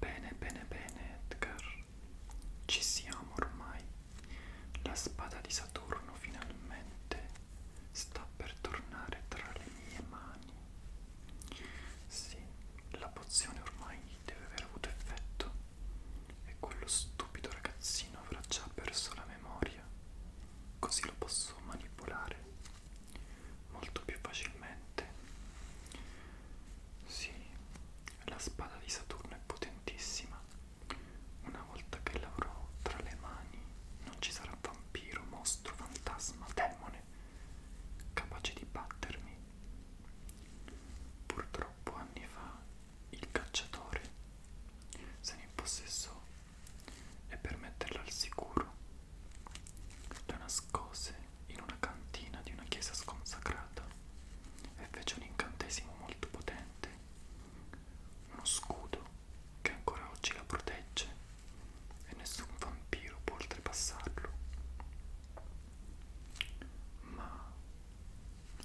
Bene, bene, bene, Edgar. Ci siamo ormai. La spada di Saturno finalmente sta per tornare tra le mie mani. Sì, la pozione ormai deve aver avuto effetto e quello stupido ragazzino avrà già perso la memoria memoria, così lo posso manipolare molto più facilmente. Sì, la spada di Saturno è potentissima. Una volta che l'avrò tra le mani, non ci sarà vampiro, mostro, fantasma, demone capace di battermi. Purtroppo anni fa il cacciatore se ne impossessò e per metterla al sicuro la nascose in una cantina di una chiesa sconsacrata e fece un incantesimo molto potente, uno scudo che ancora oggi la protegge e nessun vampiro può oltrepassarlo. Ma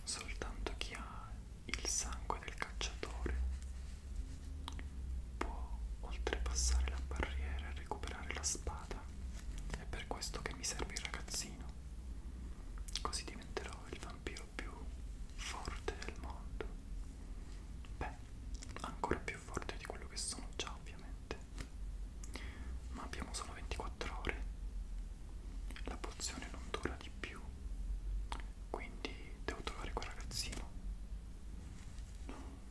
soltanto chi ha il sangue del cacciatore può oltrepassare la barriera e recuperare la spada. È per questo che mi serve il ragazzino. Così diventerò il vampiro più forte del mondo. Beh, ancora più forte di quello che sono già, ovviamente. Ma abbiamo solo 24 ore. La pozione non dura ancora di più quindi devo trovare quel ragazzino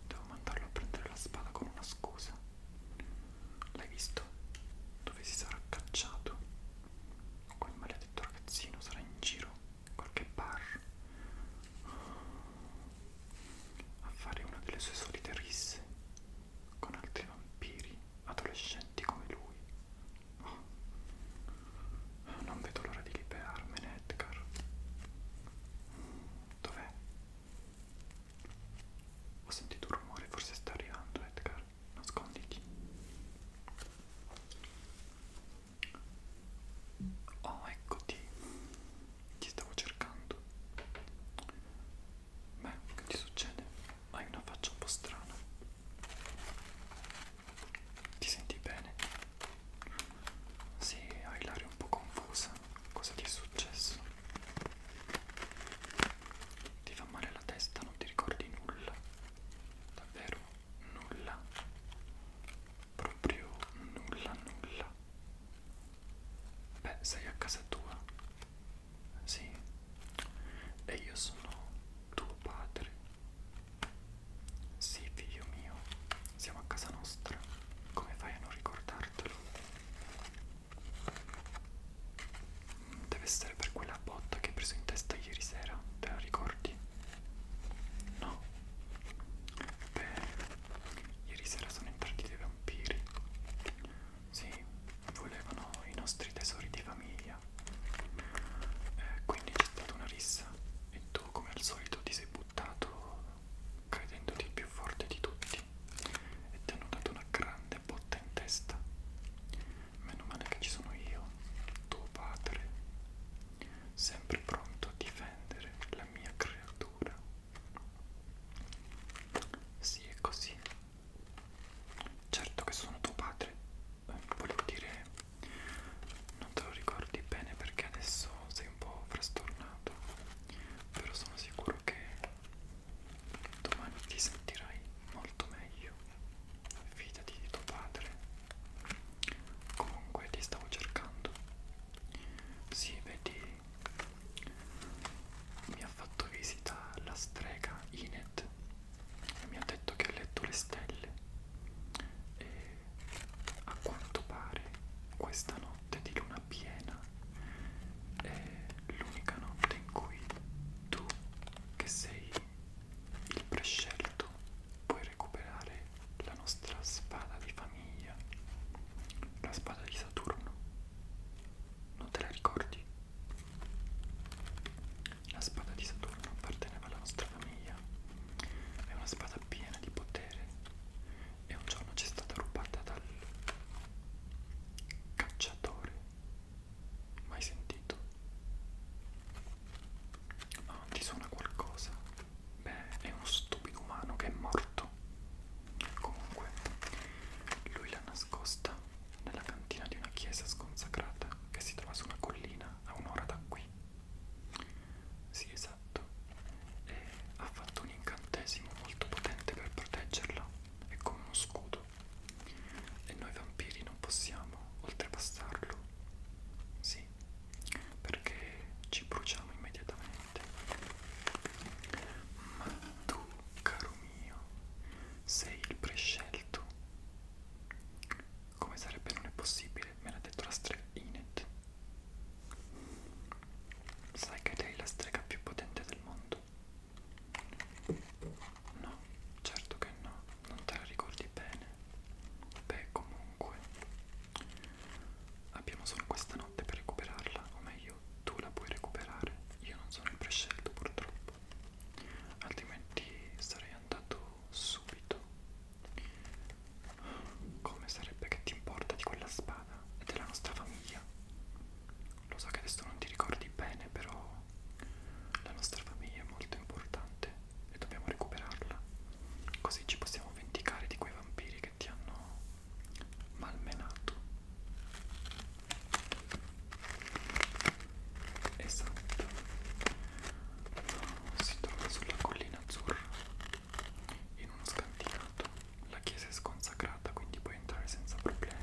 devo mandarlo a prendere la spada con una scusa l'hai visto? dove si sarà cacciato quel maledetto ragazzino sarà in giro in qualche bar a fare una delle sue solite risse con altri vampiri adolescenti come lui non vedo l'ora di liberarmene, Edgar. Dov'è? Ho sentito un rumore, forse sta arrivando, Edgar. Nasconditi. Oh, eccoti. Ti stavo cercando. Beh, che ti succede? Hai una faccia un po' strana. Ti senti bene? Sì, hai l'aria un po' confusa. Cosa ti è successo? Ti fa male la testa, non ti ricordi nulla. Davvero nulla. Proprio nulla, nulla. Beh, sei a casa tua? Sì. E io sono tuo padre. Sì, figlio mio, siamo a casa nostra. Come fai a non ricordartelo? Mm, deve essere per quella botta che hai preso in testa ieri sera, te la ricordi? No. Beh, ieri sera sono entrati dei vampiri. Sì, volevano i nostri tesori di famiglia via eh, quindi c'è stata una rissa e tu come al solito ti sei buttato credendoti più forte di tutti e ti hanno dato una grande botta in testa meno male che ci sono io tuo padre sempre pronto a difendere la mia creatura sì è così certo che sono tuo padre volevo dire non te lo ricordi bene perché adesso sei un po' frastornato però sono sicuro che domani ti sentirai molto meglio fidati di tuo padre comunque ti stavo cercando sì vedi mi ha fatto visita la strega Inet e mi ha detto che ha letto le stelle e a quanto pare questa notte di luna piena è l'unica notte in cui tu che sei il prescelto puoi recuperare la nostra spada di famiglia la spada di Saturno non te la ricordi? La spada di Saturno apparteneva alla nostra famiglia. È una spada piena di potere e un giorno ci è stata rubata dal cacciatore. Mai sentito? Ma non ti suona qualcosa? Beh, è uno stupido umano che è morto. Comunque, lui l'ha nascosto nascosta nella cantina di una chiesa sconsacrata che si trova su una collina a un'ora da qui. Sì, esatto. E ha fatto un incantesimo molto potente per proteggerla. È come uno scudo. E noi vampiri non possiamo oltrepassarlo. Sì, perché ci bruciamo immediatamente. Ma tu, caro mio, sei il prescelto come sarebbe non è possibile, me l'ha detto la strega Inet. Sai che lei è la strega più potente del mondo? No, certo che no, non te la ricordi bene. Beh, comunque, abbiamo solo questa notte per recuperarla, o meglio, tu la puoi recuperare. Io non sono il prescelto, purtroppo altrimenti sarei andato subito come sarebbe che ti importa di quella spada e della nostra famiglia lo so che adesso non ti ricordi bene però la nostra famiglia è molto importante e dobbiamo recuperarla così ci possiamo vendicare di quei vampiri che ti hanno malmenato esatto si trova sulla collina azzurra in uno scantinato la chiesa è sconsacrata quindi puoi entrare senza problemi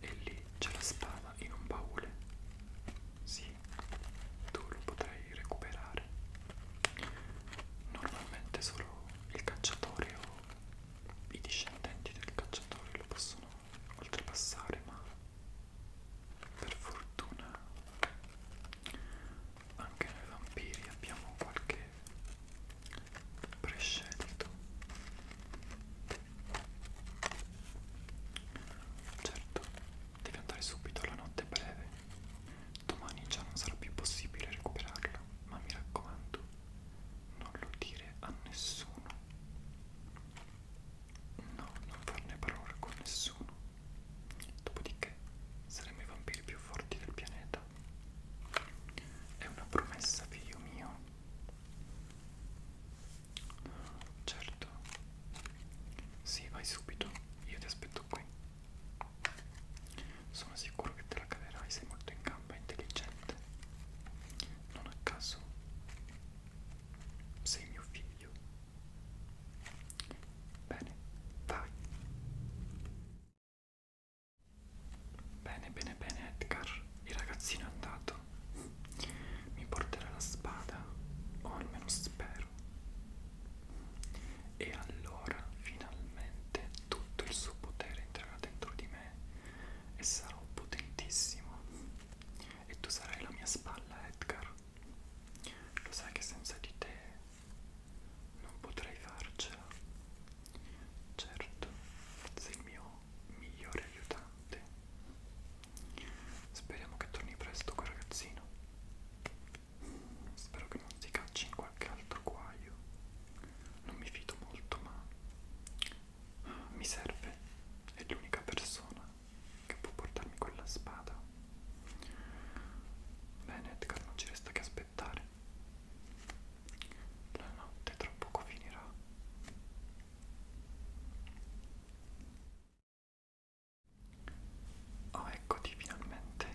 e lì c'è la spada in un baule sì tu lo potrai recuperare normalmente solo il cacciatore o i discendenti del cacciatore lo possono oltrepassare, ma per fortuna anche noi vampiri abbiamo qualche prescelto. Certo, devi andare subito, la notte è breve. Domani già non sarà più possibile recuperarlo, ma mi raccomando, non lo dire a nessuno. No, non farne parola con nessuno. Dopodiché saremo i vampiri più forti del pianeta. È una promessa, figlio mio. Certo. Sì, vai subito. Io ti aspetto qui. Sono sicuro che te la caverai, sei molto in gamba e intelligente. Non a caso sei mio figlio. Bene, vai. Bene, bene, bene, Edgar. Il ragazzino è andato. Mi porterà la spada, o almeno spero. E allora finalmente tutto il suo potere entrerà dentro di me e sarò potentissimo e tu sarai la mia spalla Edgar lo sai che senza di te non potrei farcela certo sei il mio migliore aiutante speriamo che torni presto quel ragazzino spero che non si cacci qualche altro guaio non mi fido molto ma mi serve è l'unica persona che può portarmi quella spada bene Edgar non ci resta che aspettare la notte tra poco finirà Oh, eccoti finalmente.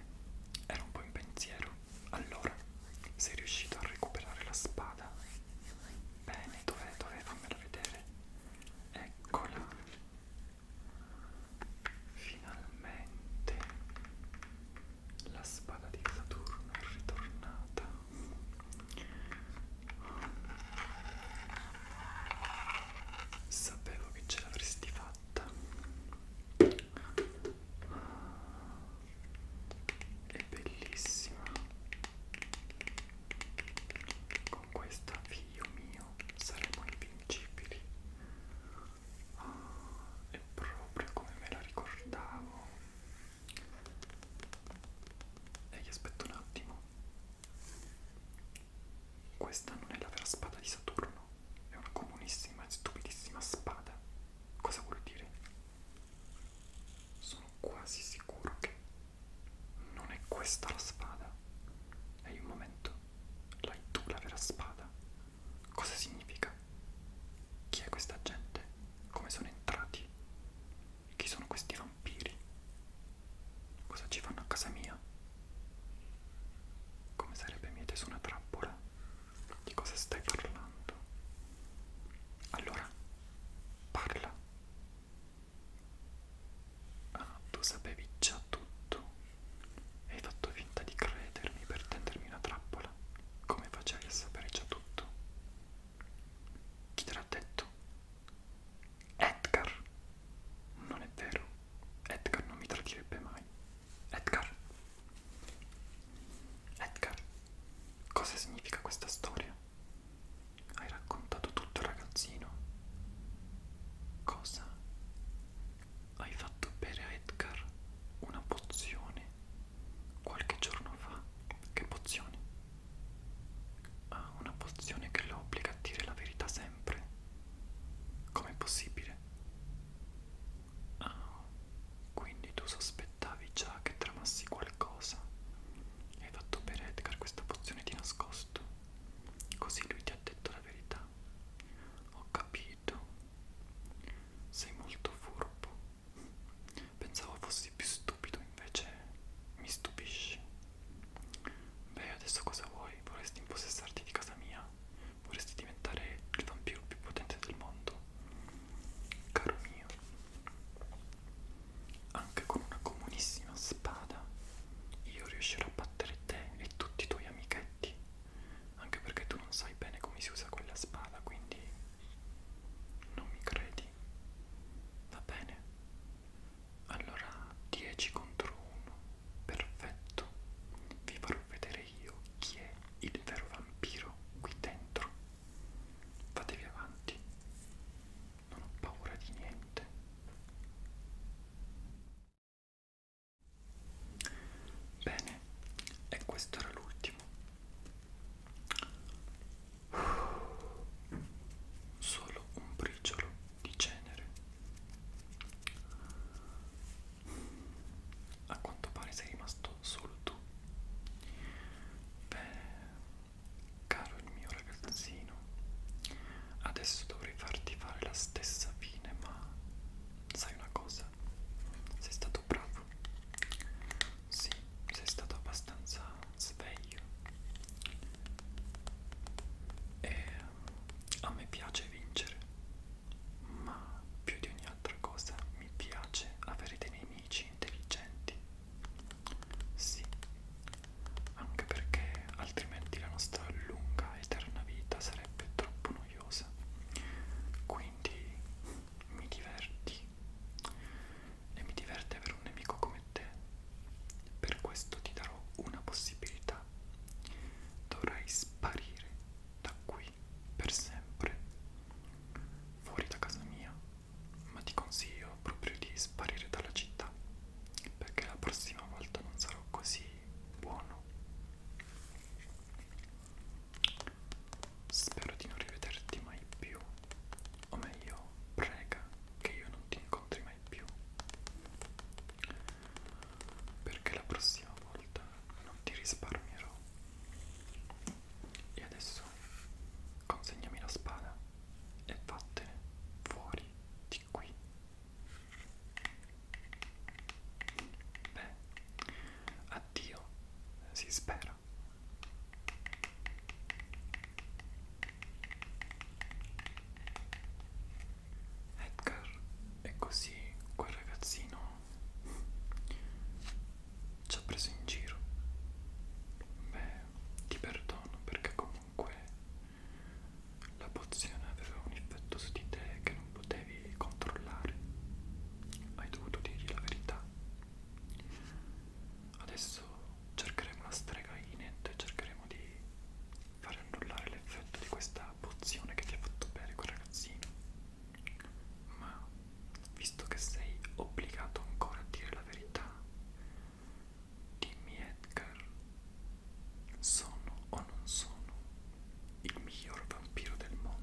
Ero un po' in pensiero. Allora, sei riuscito a recuperare la spada? Bene, dov'è? Dov'è? Fammela vedere. Eccola. Finalmente la spada di Saturno è ritornata. Sapevo che ce l'avresti fatta è bellissima con questa figlio mio saremo invincibili oh, è proprio come me la ricordavo e gli aspetto un attimo questa non è la vera spada di Saturno è una comunissima e stupidissima spada Cosa vuol dire? Sono quasi sicuro che non è questa la spada. Hai un momento, l'hai tu la vera spada. Cosa significa? Chi è questa gente? Come sono entrati? Chi sono questi vampiri? Cosa ci fanno a casa mia? Come sarebbe miete su una trappola? Di cosa stai parlando? Allora, parla. Ah, tu sapevi già tutto. Hai fatto finta di credermi per tendermi una trappola. Come facevi a sapere già tutto? Chi te l'ha detto? Edgar. Non è vero. Edgar non mi tradirebbe mai. Edgar. Edgar, cosa significa questa storia? Hai raccontato tutto al ragazzino. Cosa? Hai fatto bere a Edgar una pozione qualche giorno fa. Che pozione? Ah, una pozione che lo obbliga a dire la verità sempre. Com'è possibile? Ah, quindi tu sospettavi già che tramassi qualcosa. Hai fatto per Edgar questa pozione di nascosto. Così lui ti ha detto la verità. Ho capito. Sei molto furbo. Pensavo fossi più stupido, invece mi stupisci. Beh, adesso cosa vuoi? Vorresti impossessarti di casa mia? vorresti diventare il vampiro più potente del mondo. Caro mio, anche con una comunissima spada io riuscirò a battere te e tutti i tuoi amichetti, anche perché tu non sai bene come si usa quella spada, quindi non mi credi. Va bene? Allora 10 contro 1, perfetto. Vi farò farvi vedere io chi è il vero vampiro qui dentro. Fatevi avanti, non ho paura di niente. Bene, e questo era l'ultimo. Solo un briciolo di cenere. A quanto pare sei rimasto solo tu. Beh, caro il mio ragazzino, adesso dovrei farti fare la stessa fine, ma sai una cosa? Sei stato bravo. Sì, sei stato abbastanza sveglio. E a me piace vincere ma più di ogni altra cosa mi piace avere dei nemici intelligenti. Sì, anche perché altrimenti la nostra lunga eterna vita sarebbe troppo noiosa. Quindi mi diverti e mi diverte avere un nemico come te. Per questo ti darò una possibilità. Dovrai sparire da qui per sempre fuori da casa mia, ma ti consiglio proprio di sparire dalla città perché la prossima volta non sarò così buono. Spero di non rivederti mai più, o meglio, prega che io non ti incontri mai più perché la prossima volta non ti risparmierò. E adesso consegnami la spada e vattene fuori di qui. Beh, addio, si spera. Edgar e così quel ragazzino ci ha preso in giro. Beh, ti perdono perché comunque la pozione aveva un effetto su di te che non potevi controllare. Hai dovuto dirgli la verità. Adesso cercheremo la strega Inet e cercheremo di fare annullare l'effetto di questa pozione che ti ha fatto bere quel ragazzino. Ma visto che sei obbligato ancora a dire la verità, dimmi Edgar, sono o non sono il miglior vampiro del mondo?